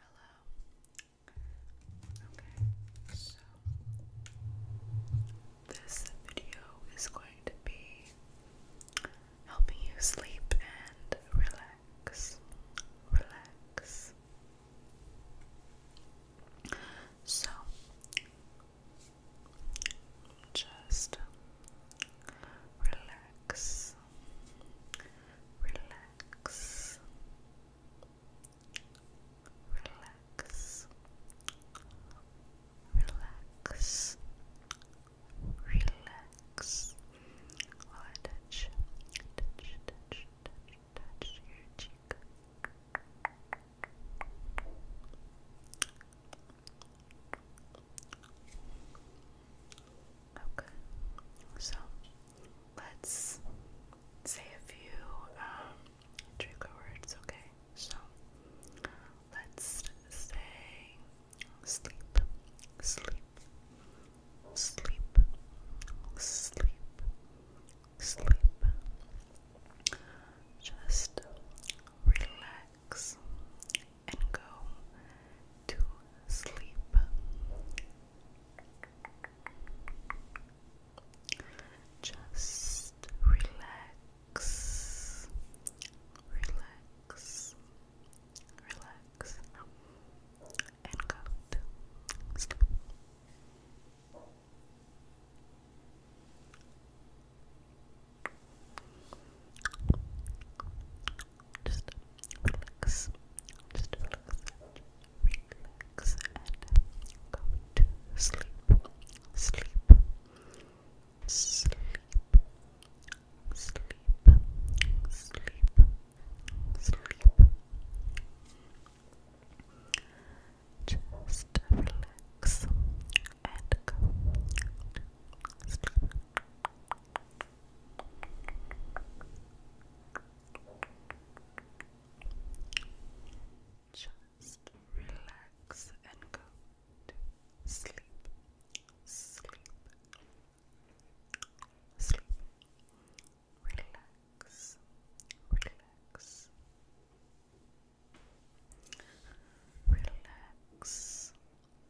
Hello. Okay, so this video is going to be helping you sleep and relax. Relax. So just relax relax, relax, relax, relax. While I touch, touch, touch, touch, your cheek. Okay, so let's say a few um, trigger words, okay? So let's say sleep, sleep, sleep, sleep, sleep. Just relax, and go to sleep. Just relax, relax, relax, and go to sleep just relax, just relax, relax, and go to sleep, sleep, sleep, sleep, sleep, sleep. Just relax and go sleep. Just relax and go to sleep, sleep, sleep. Relax, relax, relax,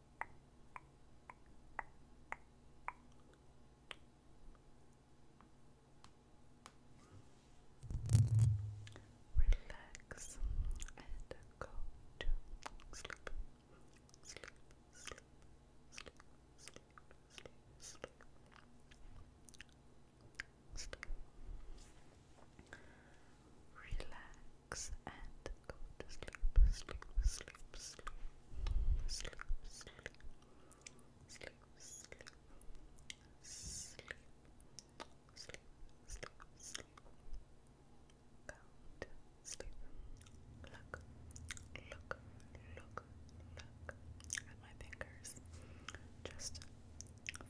Relax and go to sleep. Sleep, sleep, sleep, sleep, sleep, sleep. Sleep. Relax and go to sleep, sleep, sleep, sleep, sleep, sleep, sleep, sleep, sleep, sleep, sleep, sleep, sleep, look, look, look, look at my fingers, just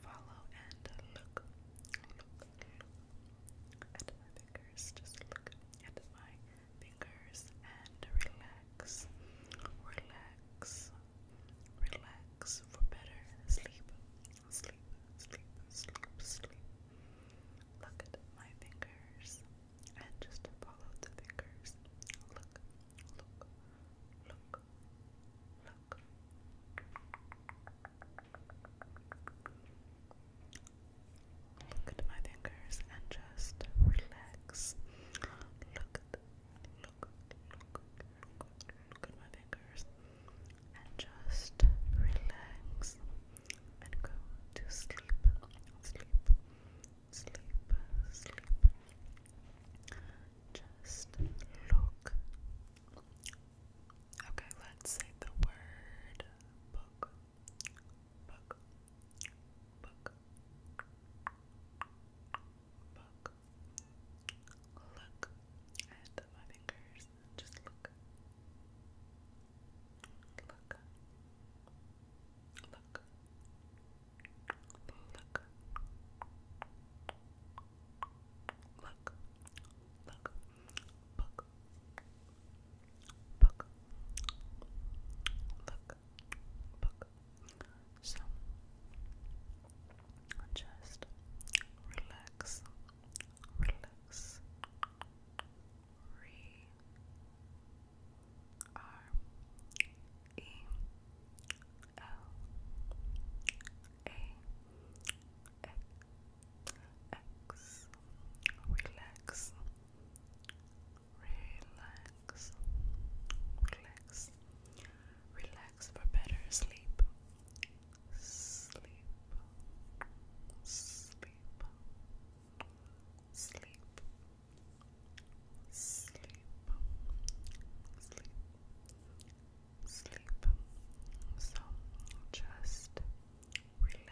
follow and look, look, look at my fingers, just look at my fingers and relax, relax, relax for better sleep, sleep, sleep, sleep, sleep. Look at my fingers and just follow the fingers. Look, look, look, look. Look at my fingers and just relax. Look look, look, look at my fingers and just relax and go to sleep. Sleep, sleep, sleep. Just look. Okay, let's say the word book book, book, book. Look at my fingers. Just look. Look. Look. Look. Look. Look. Book. Book book, book, book. So just relax, relax, re R E L A X relax, relax, relax, relax for better sleep, sleep, sleep, sleep, sleep, sleep. Sleep. So just relax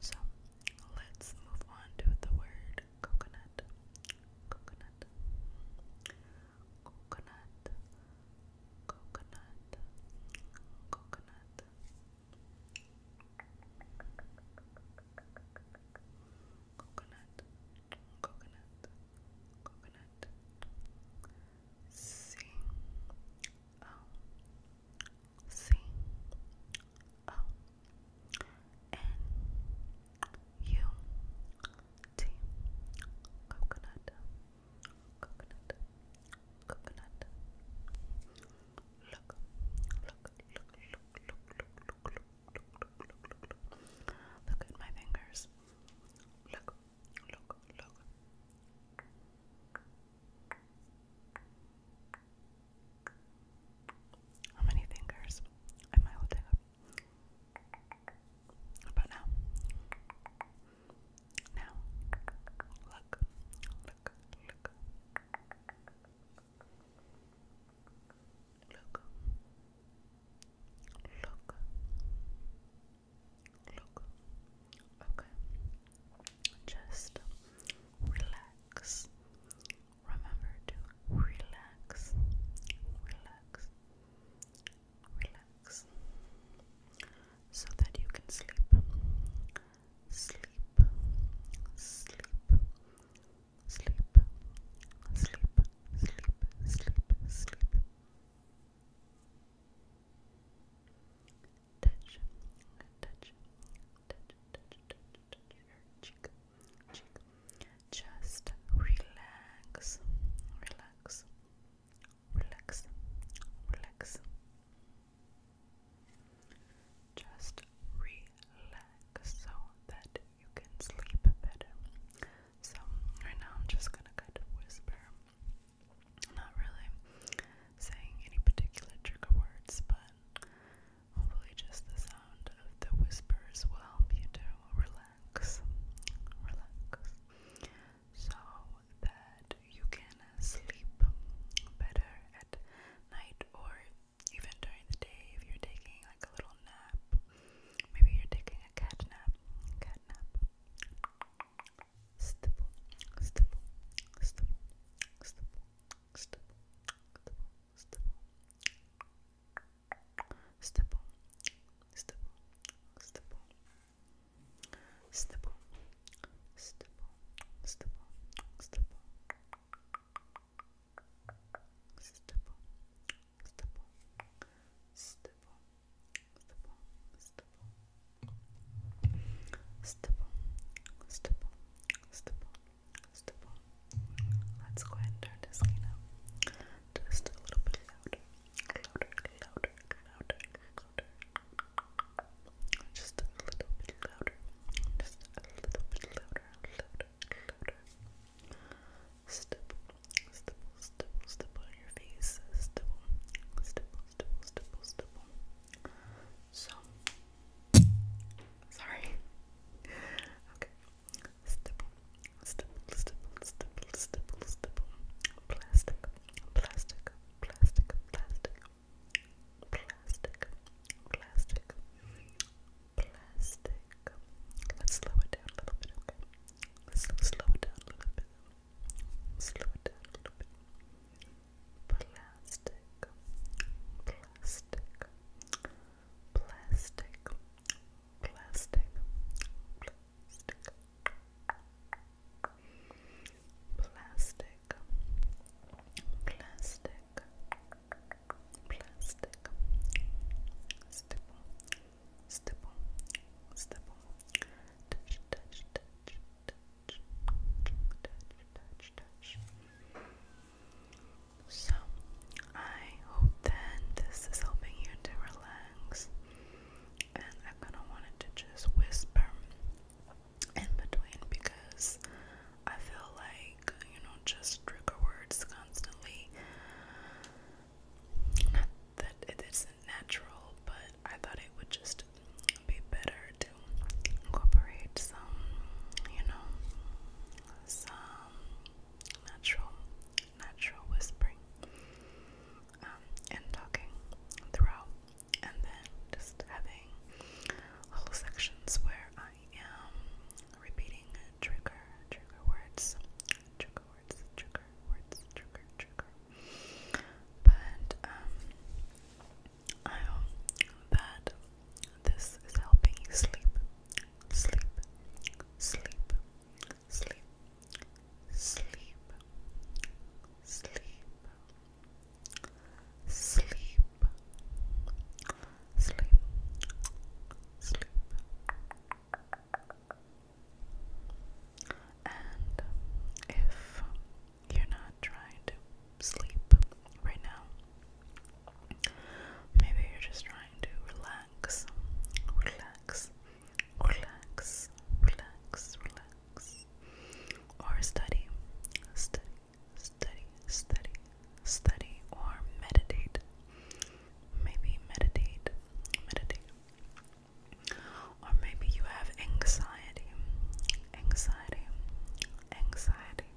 So let's move on to the word coconut. Coconut. Coconut. Coconut. Coconut coconut, coconut, coconut. C O C O N U T coconut, coconut, coconut. look, look, look, look, look, look, look, Look at my fingers. Look, look, look. How many fingers am holding up? About now. Now, look, look, look. Look. Look. Look. Okay. Just relax. Remember to relax. Relax. Relax. So that you can sleep. Sleep. Sleep. Sleep sleep, sleep, sleep, sleep, sleep. Touch, touch, touch, touch, touch, touch your cheek, cheek. Just relax, relax, relax, relax. Just relax so that you can sleep better. So, right now I'm just gonna kind of whisper. not really saying any particular trigger words, but hopefully, just the sound of the whispers will help you to relax, relax, so that you can sleep better at night, or even during the day if you're taking like a little nap. Maybe you're taking a cat nap. Cat nap. Stipple, stipple, stipple, stipple, stipple, stipple, stipple, stipple, stipple, stipple, stipple, stipple, stipple, stipple, stipple, stipple, stipple, stipple, stipple, stipple, stipple. Let's go ahead and turn this skin up just a little bit louder, louder, louder, louder, louder. Just a little bit louder, just a little bit louder. Stipple, stipple, stipple, stipple on your face. Stipple, stipple, stipple, stipple, stipple. So, sorry. Okay. Stipple, stipple, stipple, stipple, stipple, stipple. Plastic, plastic, plastic, plastic plastic, plastic, plastic. Let's slow it down a little bit, okay? Let's slow it down a little bit. Slow it down a little bit. Plastic, plastic, plastic, plastic, plastic. Plastic, plastic, plastic, plastic, stipple, stipple, stipple, touch, touch, touch, touch, touch, touch, touch. So, I hope that this is helping you to relax, and I'm gonna want it to just whisper in between because I feel like, you know, just trigger words constantly. that it isn't natural, but I thought it would just be better to incorporate some, you know, some natural, natural whispering um, and talking throughout, and then just having little sections where I um, am repeating trigger, trigger words, trigger words, trigger words, trigger, trigger. But um, I hope that this is helping you sleep, sleep, sleep, sleep, sleep, sleep. sleep sleep, sleep, sleep, and if you're not trying to sleep right now, maybe you're just trying to relax, relax, relax, relax, relax. Or study, study, study, study, study, or meditate. Maybe meditate, meditate. Or maybe you have anxiety, anxiety, anxiety.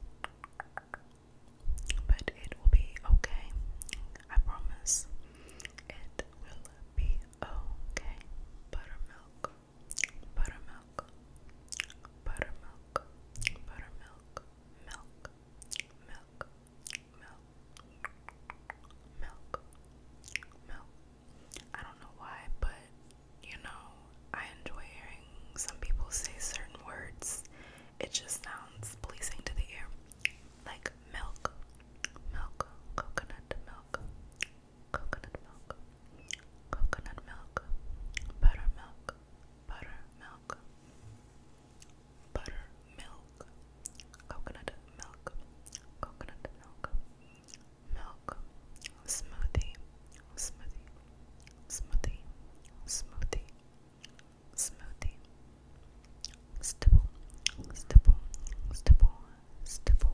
But it will be okay. I promise. It will be okay. Buttermilk buttermilk, buttermilk, buttermilk, milk, milk, milk, milk, milk. I don't know why, but you know, I enjoy hearing some people say certain words. It just sounds pleasing to the ear. Like milk, milk, coconut milk, coconut milk, coconut milk, buttermilk, buttermilk, buttermilk, coconut milk, coconut milk, milk, smoothie, smoothie, smoothie, smoothie, smoothie, stipple, stipple, stipple, stipple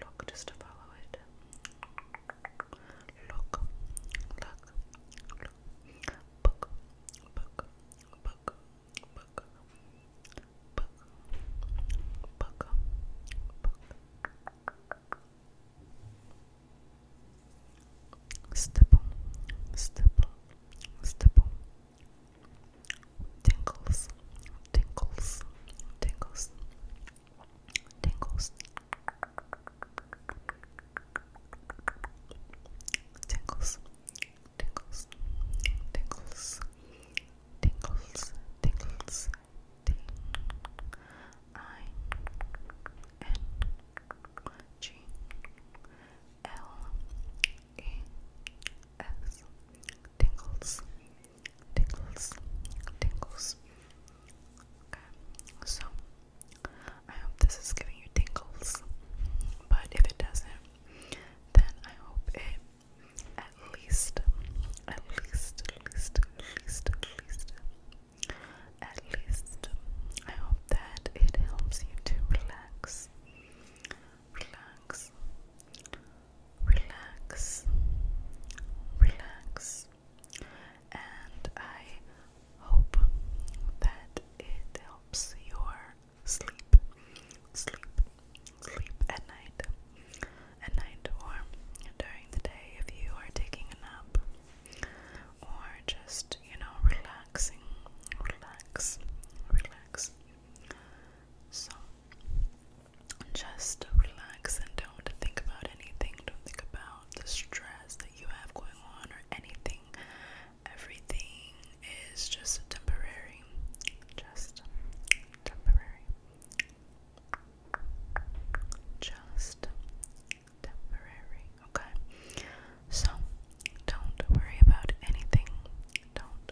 Look just follow it. Look, look, look. Book, book, book, book, book, book, book. Stipple, stipple, stipple. Tinkles, tinkles, tinkles, Tingles. Tingles. Tingles. Tingles. Tingles. Tingles. T I N G L E S Tingles tingles, tingles. Okay, so I hope this is giving you tingles, but if it doesn't, then I hope it at least, at least, at least, at least, at least, I hope that it helps you to relax, relax, relax, relax, and I hope that it helps your sleep, sleep, sleep at night, at night or during the day if you are taking a nap or just, you know, relaxing, relax, relax. So, just relax and don't think about anything. Don't think about the stress that you have going on or anything. Everything is just temporary. Just temporary. Just temporary. Okay? So, don't worry about anything. Don't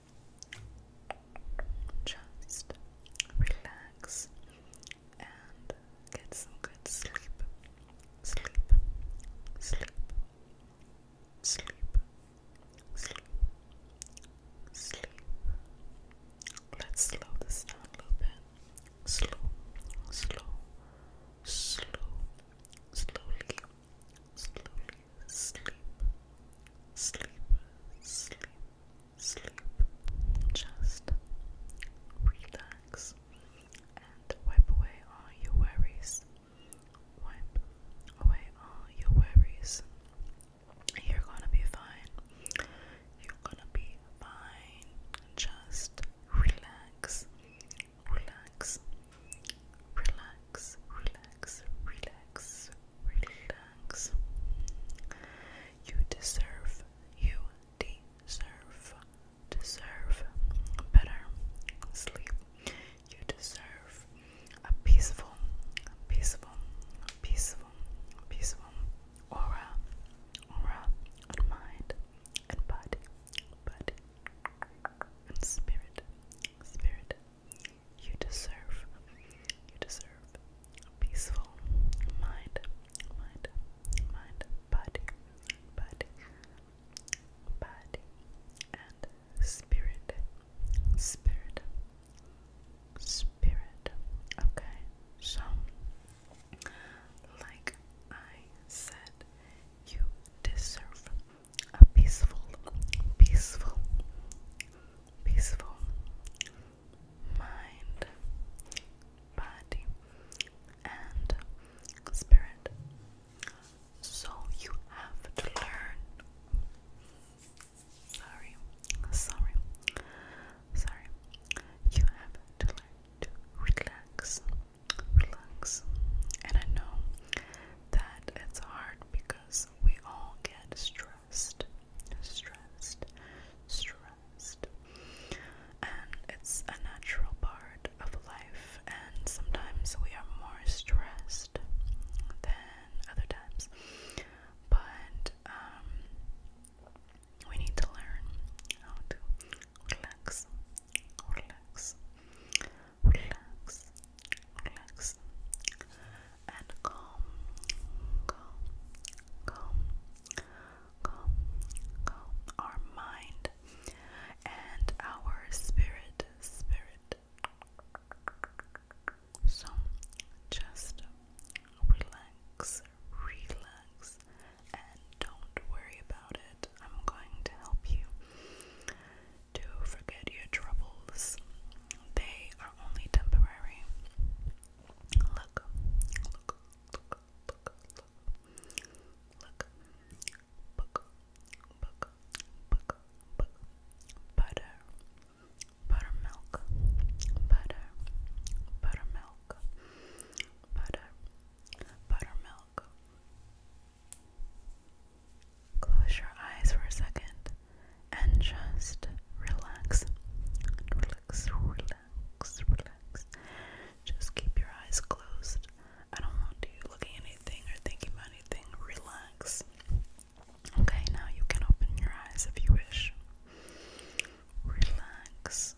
Just relax and get some good sleep. Sleep, sleep, sleep, sleep, sleep. Let's slow this down a little bit. Slow, slow, slow, slowly, slowly, sleep, sleep, sleep, sleep. Just relax and wipe away all your worries. Wipe away all your worries. You're gonna be fine. You're gonna be fine. Just relax, relax, Relax, relax, relax, relax. You deserve, you deserve, deserve better sleep. You deserve a peaceful, a peaceful, a peaceful, a peaceful aura, aura and mind and body, body and spirit, spirit, you deserve, you deserve a peaceful mind, mind, mind, body, body, body, and spirit, spirit, spirit. Okay, so like I said, you deserve a peaceful, peaceful, peaceful mind, body, and spirit. So you have to learn. Sorry, sorry, sorry. You have to learn to relax, relax. And I know that it's hard because because we all get stressed, stressed, stressed. And it's a natural part of life, and sometimes we are more stressed than other times. But um, we need to learn how to relax, relax, relax, relax, and calm, calm, calm, calm, our mind and our spirit, spirit. So just relax, relax, and don't worry about it. I'm going to help you to forget your troubles. They are only temporary. Look, look, look, look, look, look, book, book, book, butter, buttermilk, butter, buttermilk, butter, buttermilk, Close your eyes for a second and just relax. Relax, relax, relax. Just keep your eyes closed. I don't want you looking anything or thinking about anything. Relax. Okay, now you can open your eyes if you wish. Relax.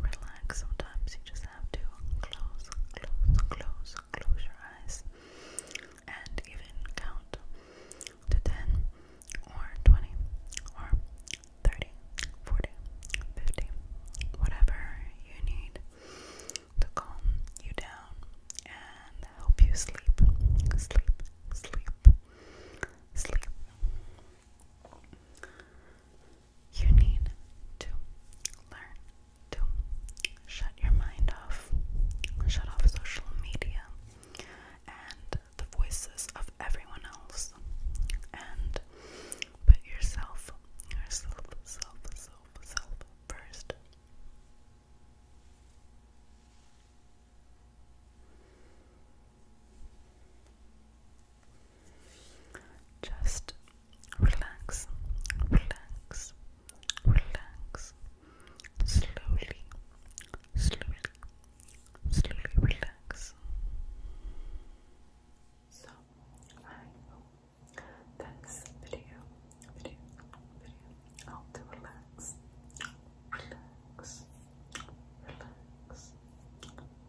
Relax. Sometimes you just have to close, close, close, close your eyes and even count to 10 or 20 or 30, whatever you need to calm you down and help you sleep, sleep, sleep, sleep. You need to learn to shut your mind off, shut off social media and the voices of everyone else, and put yourself, yourself, self, self, self first. Just Relax, relax, relax. Slowly, slowly, slowly relax. So, I hope that's video, video, video. How to relax, relax,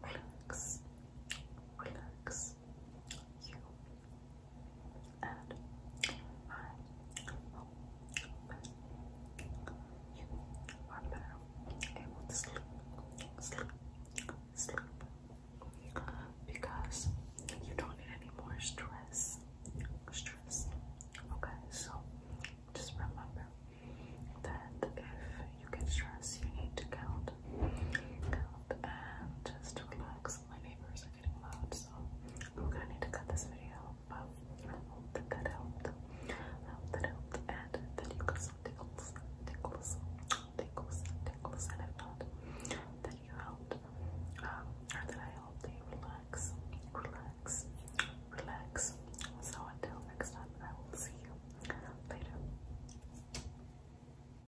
relax, relax, relax. And I hope you are better able to sleep, sleep, sleep. Because you don't need any more stress. Stress. Okay, so just remember that if you get stressed, you need to count, count, and just relax my neighbors are getting loud, so I'm gonna need to cut this video. But that helped. that helped, and that you got some tickles, tickles, tickles, tickles, and if not, that you helped, um, or that I helped you relax, relax, relax. So until next time, I will see you later.